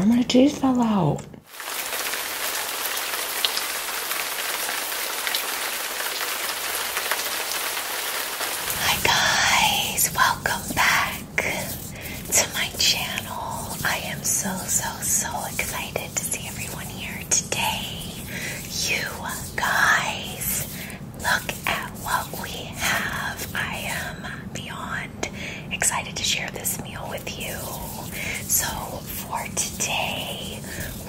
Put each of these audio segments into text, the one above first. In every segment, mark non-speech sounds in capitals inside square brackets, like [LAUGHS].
Oh, my teeth fell out. Hi guys, welcome back to my channel. I am so, so, so excited to see everyone here today. You guys, look at what we have. I am beyond excited to share this meal with you. So, for today,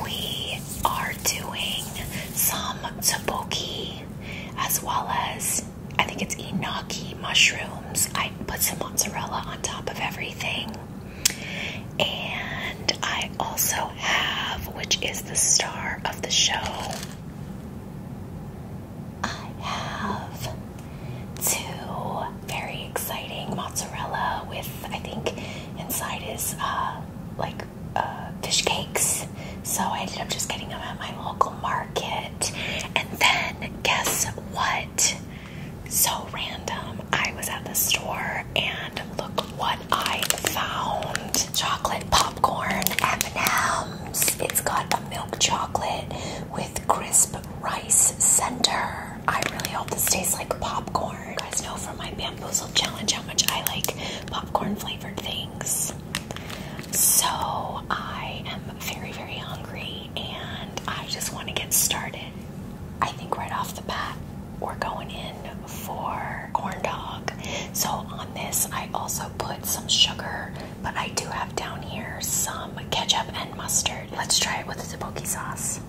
we are doing some tteokbokki as well as I think it's enoki mushrooms put some mozzarella on top of everything. And I also have, which is the star of the show, I have two very exciting mozzarella with, I think, inside is uh, like uh, fish cakes. So I ended up just getting them at my local market. And then guess what? So random. I was at the store and look what I found. Chocolate popcorn M&M's. It's got a milk chocolate with crisp rice center. I really hope this tastes like popcorn. You guys know from my bamboozle challenge how much I like popcorn flavored things. So I am very, very hungry and I just want to get started. I think right off the bat, we're going in for corn dog. So on this, I also put some sugar, but I do have down here some ketchup and mustard. Let's try it with the tteokbokki sauce.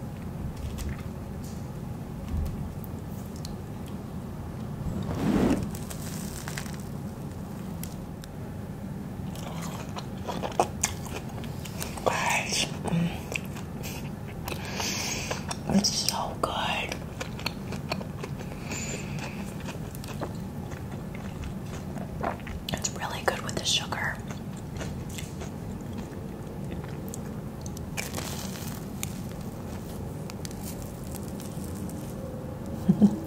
Guys, mm. it's so good. It's really good with the sugar. [LAUGHS]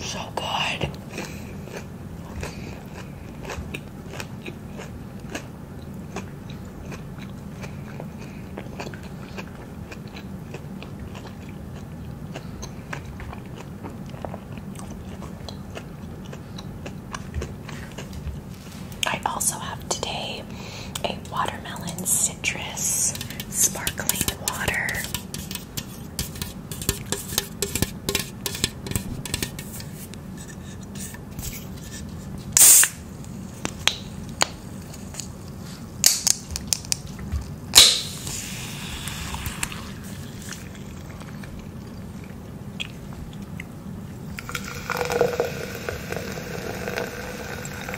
So good. I also have today a watermelon, citrus, sparkling water.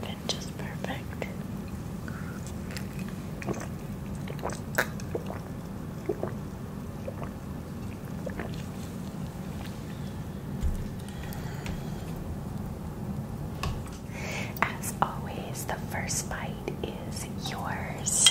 Been just perfect. As always, the first bite is yours.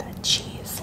That cheese.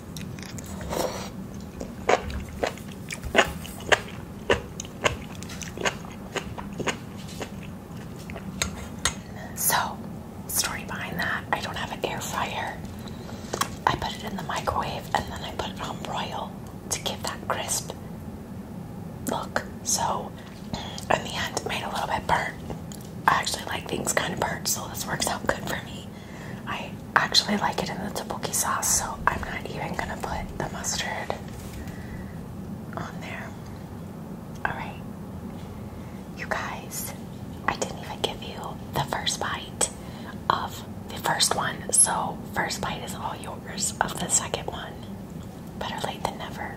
So, story behind that, I don't have an air fryer. I put it in the microwave and then I put it on broil to give that crisp look. So, in the end, it made a little bit burnt. I actually like things kind of burnt, so this works out good for me. I actually like it in the tteokbokki sauce, so I'm not even gonna put the mustard on there. Alright. You guys, I didn't even give you the first bite of the first one, so first bite is all yours of the second one. Better late than never.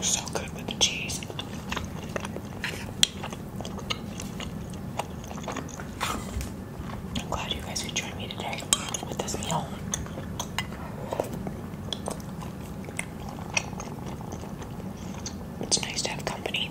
So good with the cheese. I'm glad you guys could join me today with this meal. It's nice to have company.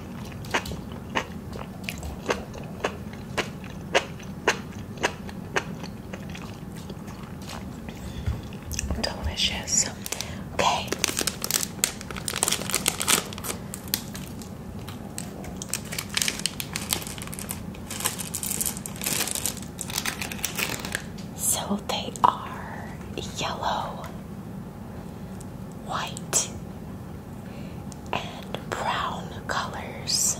Delicious. Okay. So they are yellow white and brown colors.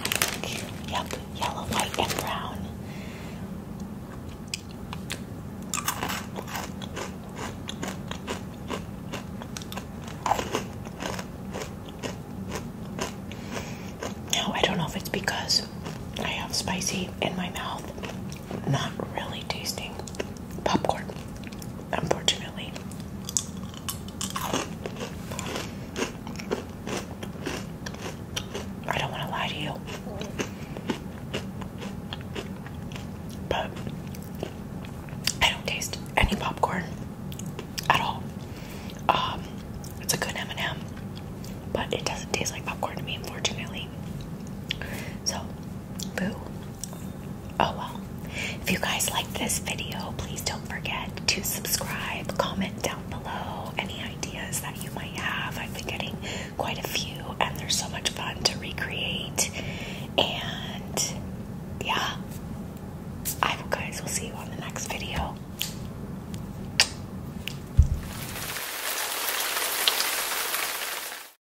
I think, yep, yellow, white, and brown. Now, I don't know if it's because I have spicy in my mouth, not really tasting popcorn, unfortunately. I don't want to lie to you. But I don't taste any popcorn at all. Um, it's a good M&M, but it doesn't taste like popcorn to me, unfortunately. So Boo. Oh well. If you guys like this video, please don't forget to subscribe, comment down below any ideas that you might have. I've been getting quite a few, and they're so much fun to recreate. And yeah, I will, guys, will see you on the next video.